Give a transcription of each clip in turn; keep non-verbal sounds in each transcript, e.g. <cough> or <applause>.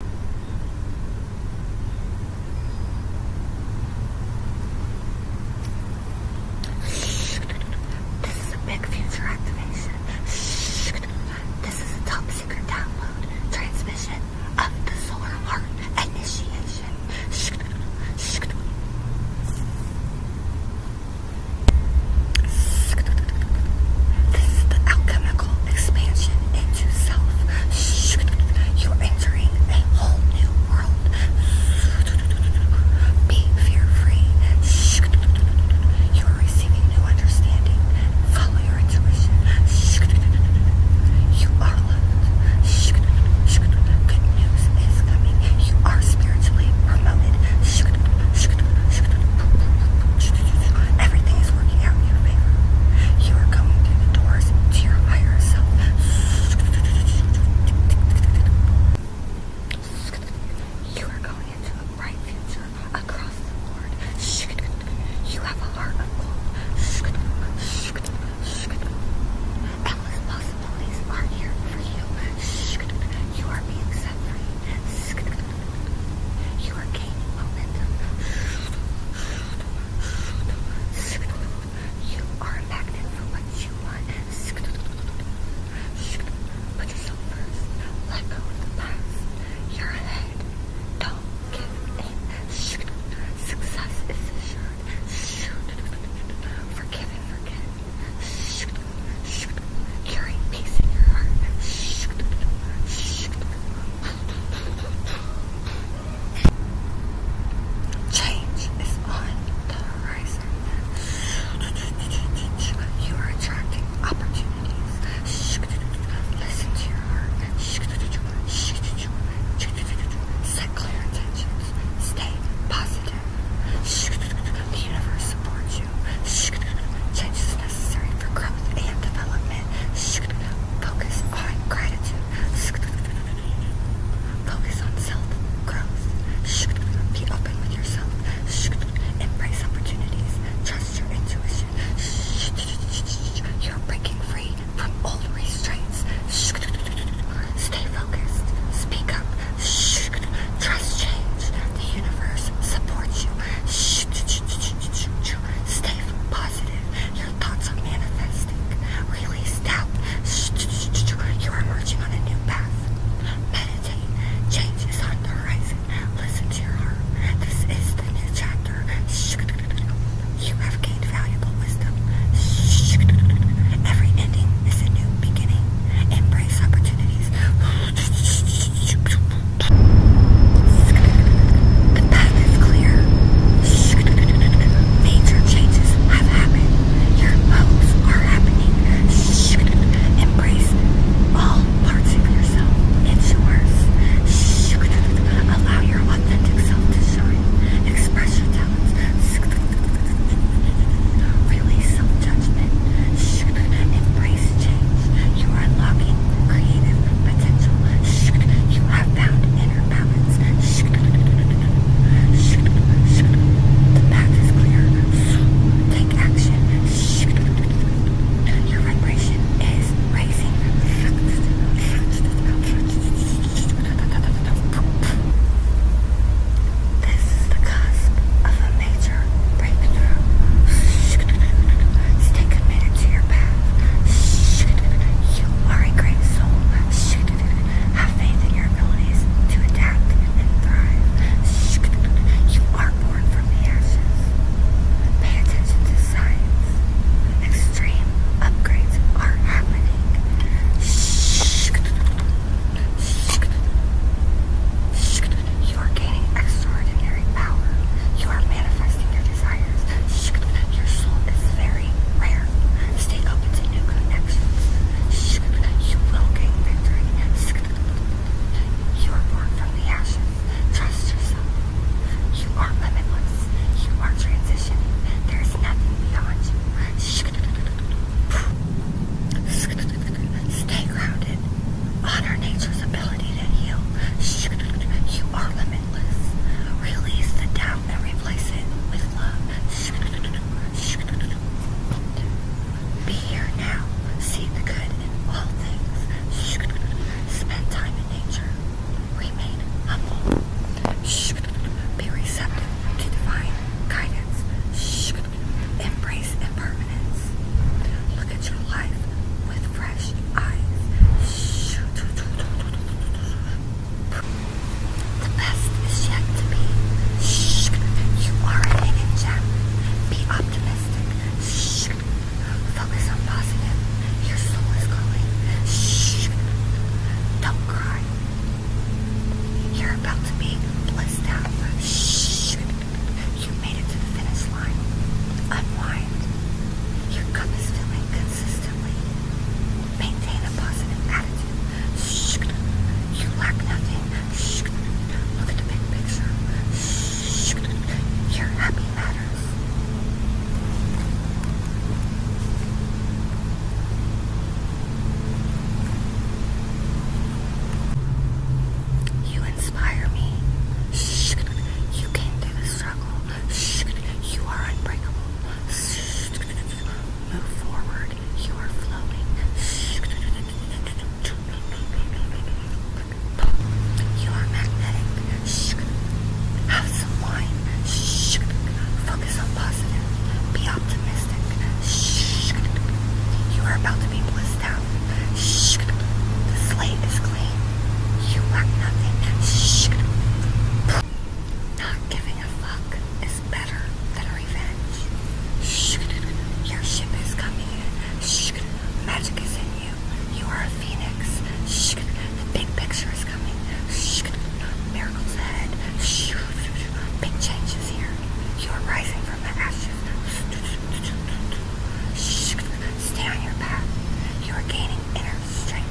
This is a big future activation. This is a top secret download transmission of the Solar Heart Initiation. This is the outcome vertical expansion into self. You're entering a whole new world. Be fear free. You are receiving new understanding. Follow your intuition. You are loved. Good news is coming. You are spiritually promoted. Everything is working out in your You are coming through the doors to your higher self. You are going into a bright future across the board. You have a heart of gold. Endless possibilities are here for you. You are being set free. You are gaining momentum. You are a magnet for what you want. Put yourself first. Let go of the past. You're ahead. Don't give in. Success is assured. Forgive and forget. Carry peace in your heart. Change is on the horizon. You are attracting opportunities. Listen to your heart. Set clear intentions. Stay positive. The universe supports you. Change is necessary for growth and development it. Focus on gratitude. Focus on self-growth. Be open with yourself. Embrace opportunities. Trust your intuition. You're breaking free from old restraints. Stay focused. Speak up. Trust change. The universe supports you. Stay positive thoughts are manifesting. Release doubt. You are emerging on a new path. Meditate. Change is on the horizon. Listen to your heart. This is the new chapter. You have gained valuable wisdom. Every ending is a new beginning. Embrace opportunities. The path is clear. Major changes have happened. Your hopes are happening. Embrace all parts of yourself. It's yours. Allow your authentic self to shine. Express your talents. Release self judgment. Embrace change. You are unlocking creative potential. You have found inner balance. The path is clear. Take action. Your vibration is rising. This is the cusp of a major breakthrough. Stay committed to your path. Shit, you are a great soul. Shit, have faith in your abilities to adapt and thrive. Shit, you are born from the ashes. Pay attention to signs. Extreme upgrades are happening. Shit, shit. You're gaining extraordinary power. You are manifesting your desires science that your soul is very rare. Stay open to new connections. You will gain victory. You are born from the ashes. Trust yourself. You are limitless. You are transitioning. There is nothing beyond you. Stay grounded. Honor nature's ability in you. You are limitless. Release the doubt and replace it with love. Be here now. See the good in all things. Spend time in nature. Remain humble. Be receptive to divine guidance. Embrace impermanence. Look at your life with fresh eyes. The best is yet to be. You are a hidden gem. Be optimistic. Focus on positive. Your soul is calling. Don't cry. You're about to be blissed out. You made it to the finish line. Unwind. Your cup is filling consistently maintain a positive attitude. You lack nothing. Look at the big picture. Your happy matters. You inspire me. You came through the struggle. You are unbreakable. Move forward. You are flowing. You are magnetic. Have some wine. Focus on positive. Be optimistic. You are about to be blissed out. The slate is Exactly. You are nothing. Shh. Not giving a fuck is better than revenge. Shh. Your ship is coming in. Shh. Magic is in you. You are a phoenix. Shh. The big picture is coming. Shh. Miracles ahead. Shh. Big changes here. You are rising from the ashes. Shh. Stay on your path. You are gaining inner strength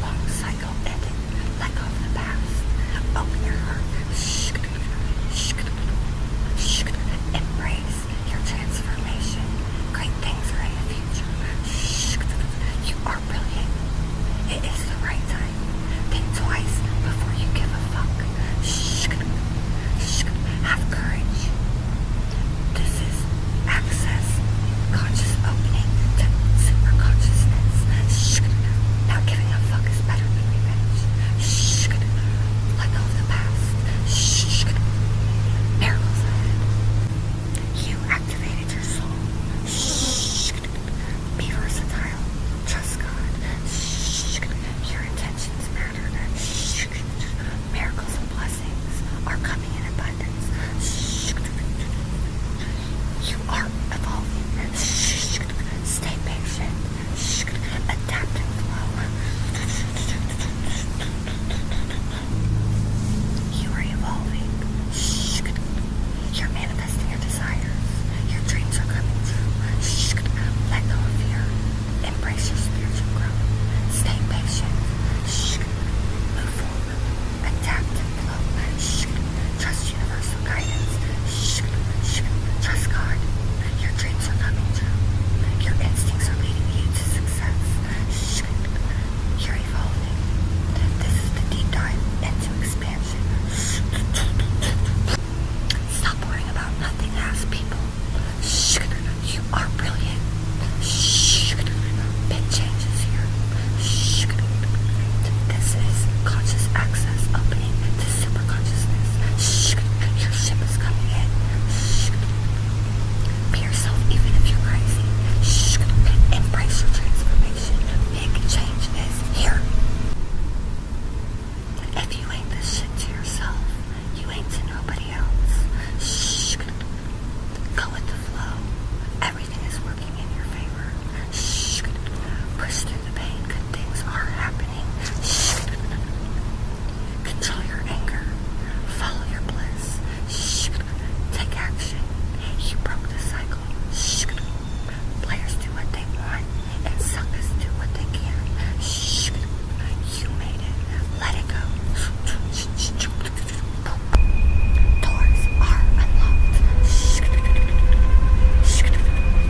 long cycle ending, like of the past. Open your heart. Embrace your transformation. Great things are in the future. You are brilliant. It is the right time. Think twice before you give a fuck. Have courage. This is access, conscious opening to super consciousness. Shh, not giving a fuck is better than revenge. Shh, let go of the past. Shh, miracles ahead. You activated your soul. Shh, be versatile. Trust God. Shh, your intentions matter. Shh, Miracles and blessings are coming in abundance. You are evolving. Stay patient. Adapt and flow. You are evolving. You're manifesting your desires. Your dreams are coming true. Let go of fear. Embrace your spiritual growth. Stay patient. Move forward. Adapt Trust universal guidance. Trust God. Your dreams are coming true. Your instincts are leading you to success. You're evolving. This is the deep dive into expansion. Stop worrying about nothing else, people. You are brilliant. Big changes here. This is conscious access opening to super Your ship is coming in. Be yourself even if you're crazy. Embrace your transformation. Big change is here. If you ain't this shit to yourself, you ain't to nobody else. Go with the flow. Everything is working in your favor. Shh. Push through the pain. Good things are happening. Shh. Control your anger. Follow your bliss. Shh. Take action. You broke the cycle. Shh. Players do what they want and suckers do what they can. Shh. You made it. Let it go. Doors are unlocked.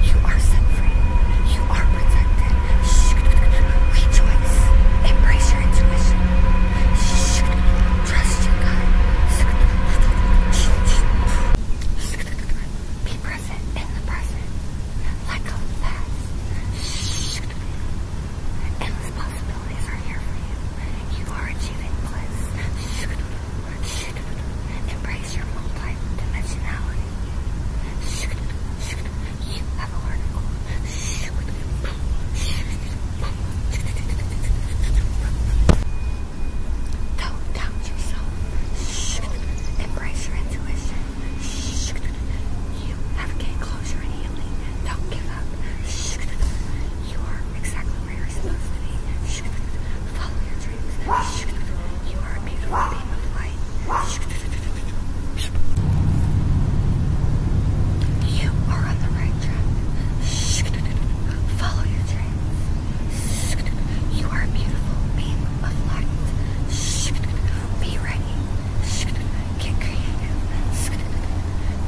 You are set free. You are protected. Rejoice. Embrace your intuition. Trust your gut. Be present in the present. Let go fast. Endless possibilities responsibilities are here for you. You are achieving bliss. Embrace your multi-dimensionality. You have a Don't doubt yourself. Embrace your intuition you have gained closure and healing. Don't give up. You are exactly where you're supposed to be. Follow your dreams. You are a beautiful beam of light. You are on the right track. Follow your dreams. You are a beautiful beam of light. Be ready. Get creative.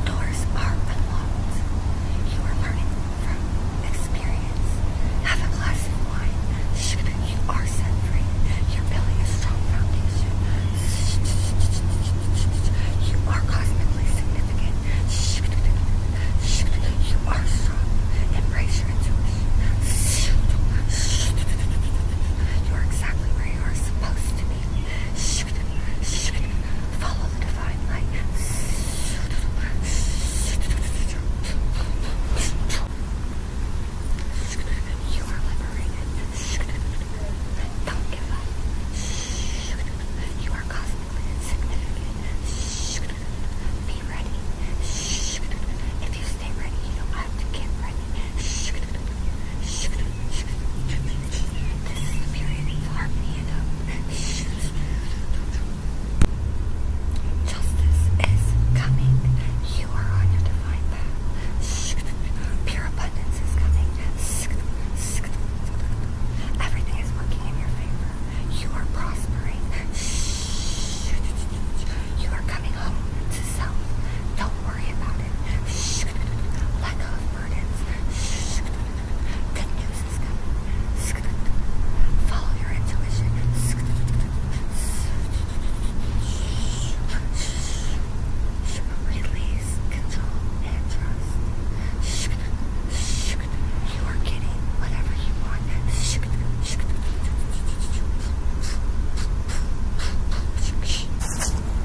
Doors are unlocked. You are learning from experience. Have a glass of wine. You are set free. You're building a strong foundation. You are cosmically significant. You are strong. Embrace your intuition. You are exactly where you are supposed to be. Follow the divine light. You are liberated. Don't give up. You are cosmically significant. Be ready. If you stay ready, you don't have to get ready. This is the period of harmony and hope. Justice is coming. You are on your divine path. Pure abundance is coming. Everything is working in your favor. You are prospering. You are coming home to self. Don't worry about it. Shh. Let go of burdens. Shh. Good news is coming. Shh. Follow your intuition. Shh. Shh. Release, control, and trust. Shh. You are getting whatever you want. Shh. Shh.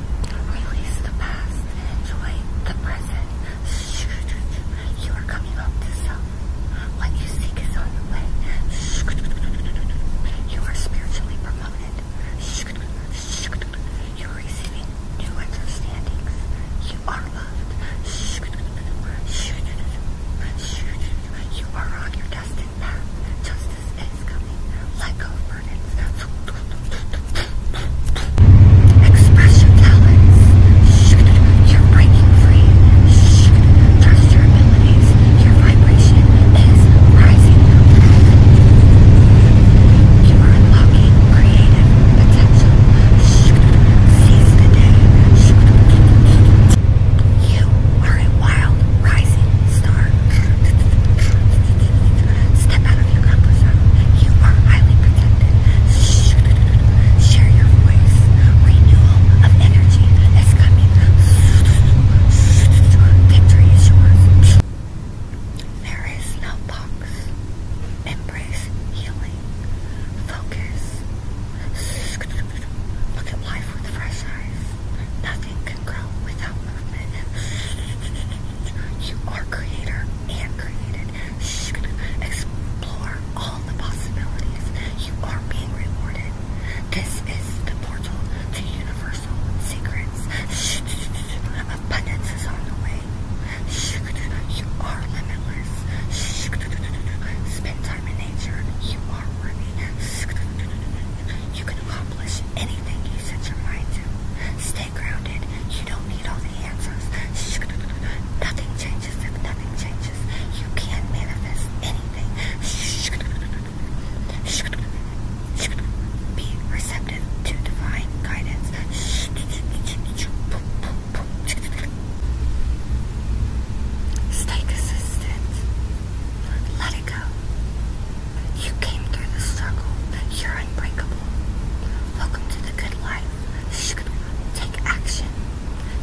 Release the past and enjoy the present. <laughs> You are coming up to self. What you seek is on the way. <laughs> You are spiritually promoted. <laughs> You are receiving new understandings. You are loved. You are on your destined path. Justice is coming. Let go Bird talents. You're breaking free. Trust your abilities. Your vibration is rising. You are unlocking creative potential. Seize the day. You are a wild rising star step out of your comfort zone. You are highly protected. Share your voice. Renewal of energy is coming. Victory is yours. There is no box. Embrace healing. Focus. Look at life with fresh eyes. Nothing can grow without movement. You are creator and created. Shh. Explore all the possibilities. You are being rewarded. This is the portal to universal secrets. Shh. Abundance is on the way. You are limitless. Shh. Spend time in nature. You are worthy. You can accomplish anything you set your mind to stay grounded. You don't need all the answers. Nothing changes if nothing changes. You can not manifest anything. Be receptive to divine guidance. Stay consistent. Let it go. You came through the struggle. You're are unbreakable. Welcome to the good life. Shh, take action.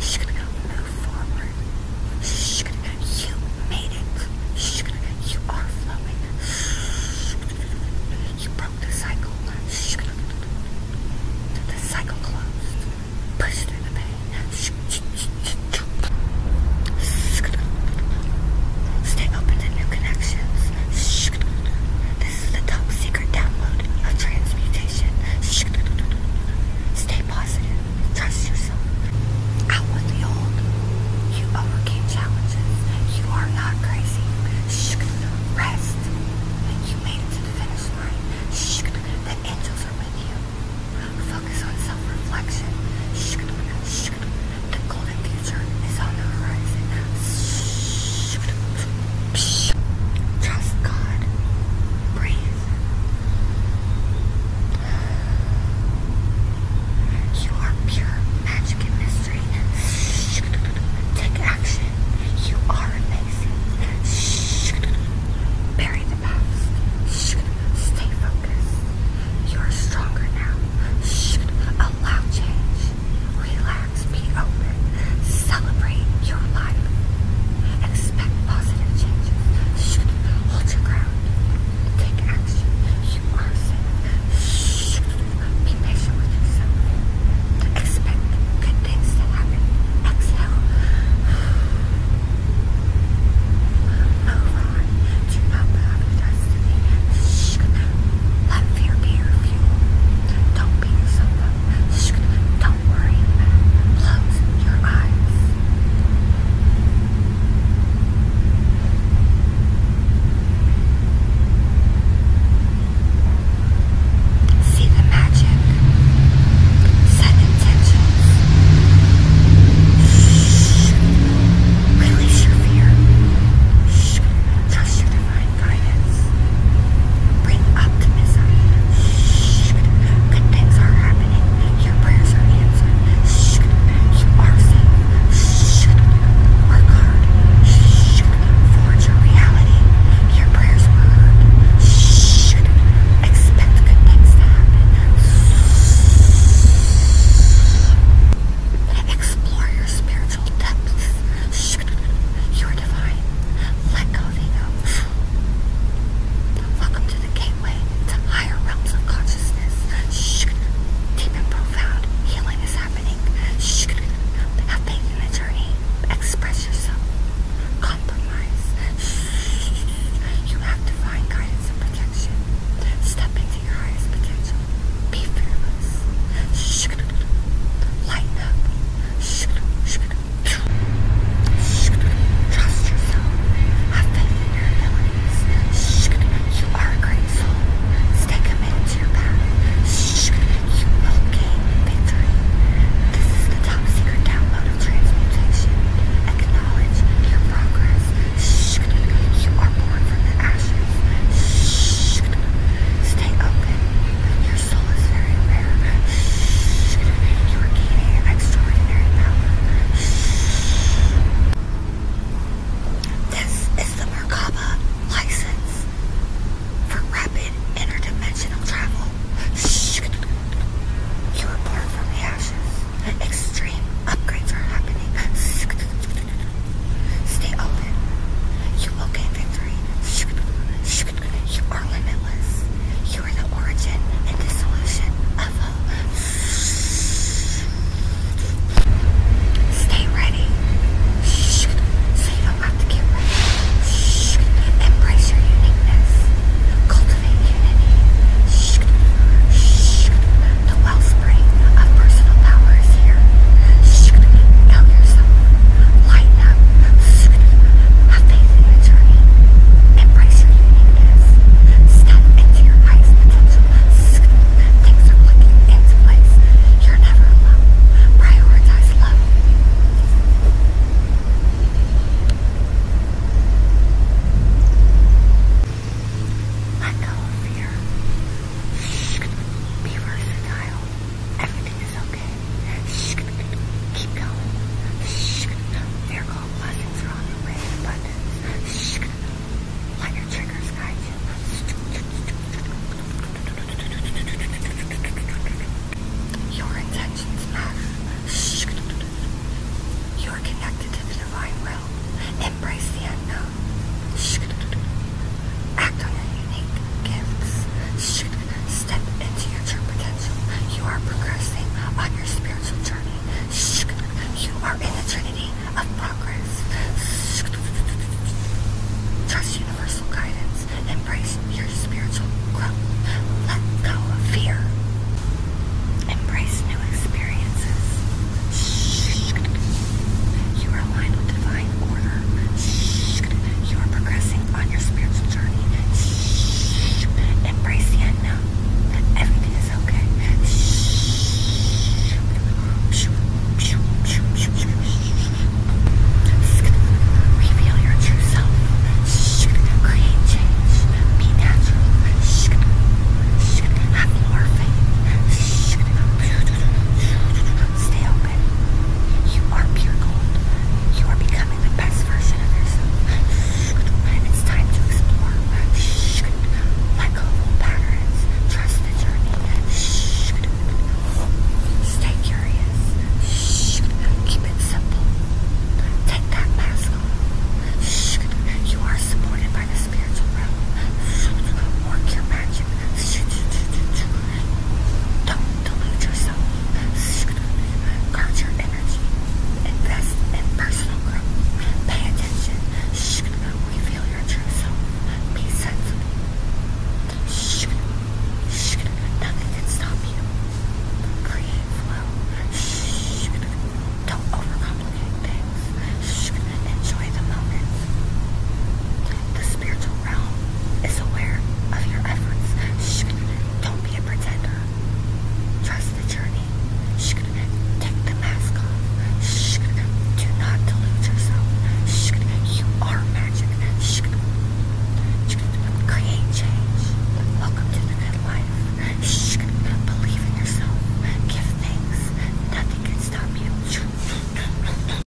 Shh, move forward. Shh, you made it. Shh, you are flowing. Shh, you broke the cycle. Shh, the cycle closed. Push through the pain. Shh, shh, shh, shh. Stay I opened new connections. This is the top secret download of transmutation. Stay positive. Trust yourself. Out with the old. You overcame challenges. You are not crazy. Rest. You made it to the finish line. The angels are with you. Focus on self-reflection. The golden future is on the horizon. Trust God. Breathe. You are pure magic and mystery. Take action. You are amazing. Bury the past. Stay focused. You are stronger now. Allow change. Relax, be open, celebrate your life, expect positive changes. hold your ground, take action. You are safe. be patient with yourself. Expect good things to happen. Exhale. Move on. Do not have a destiny. let fear be your fuel. Don't beat yourself up. don't worry. Close your eyes. See the magic. Set intentions. Release your fear. Trust your divine guidance. Bring optimism. Good things are happening. Your prayers are answered. You are safe. Work hard. Forge your reality. Your prayers were heard. Expect good things to happen. Explore your spiritual depths. You are divine. Let go, Vigo. Welcome to the gateway to higher realms of consciousness. Deep and profound healing is happening. Have faith in the journey. Express yourself. Compromise. You have divine guidance and protection. Step into your highest potential. Be fearless. Lighten up. Trust yourself. Have faith in your abilities. You are a great soul. Stay committed to your path. You will gain victory. This is the top secret download of transmutation. Acknowledge your progress. You are born from the Shh. Stay open. Your soul is very rare. Shh. You are gaining extraordinary power. Shh. This is the Merkaba license for rapid interdimensional travel. Shh. You are born from the ashes. Extreme upgrades are happening. Stay open. You will gain victory. You are limitless. You are the origin and dissolution of hope. Stay ready. you don't have to get ready. Embrace your uniqueness. Cultivate unity. The wellspring of personal power is here. She's gonna yourself, lighten up. have faith in your journey. Embrace your uniqueness. Step into your highest potential. things are looking into place. You're never alone. Prioritize love. Let go of fear. Be versatile. Everything is okay. keep going. miracle blessings are on the way in triggers guide Your intentions matter. you are connected to the divine will. Embrace the unknown. Act on your unique gifts. Step into your true potential. You are progressing on your spiritual journey. You are in the trinity of progress. Trust universal guidance. Embrace your spiritual growth. Let go of fear. Embrace new experiences. You are aligned with divine in order. You are progressing on your spiritual journey. Embrace the unknown. Everything is okay. Reveal your true self. Create change. Be natural. Have more faith. Stay open. You are pure gold. You are becoming the best version of yourself. It's time to explore. Let go of patterns. Trust the journey. Stay curious. Keep it simple. Take that mask off. You are supported by the spiritual realm. Work your magic. Don't delude yourself. Guard your energy. Invest in personal growth. Pay attention. Reveal your true self. Be sensible. Nothing can stop you. Create flow. Don't overcomplicate things. Enjoy the moment. The spiritual realm is aware of your efforts. Don't be a pretender. Trust the journey. Take the mask off. Do not delude yourself. You are magic. Create change. Welcome to the good life. Believe in yourself. Give thanks. Nothing can stop you.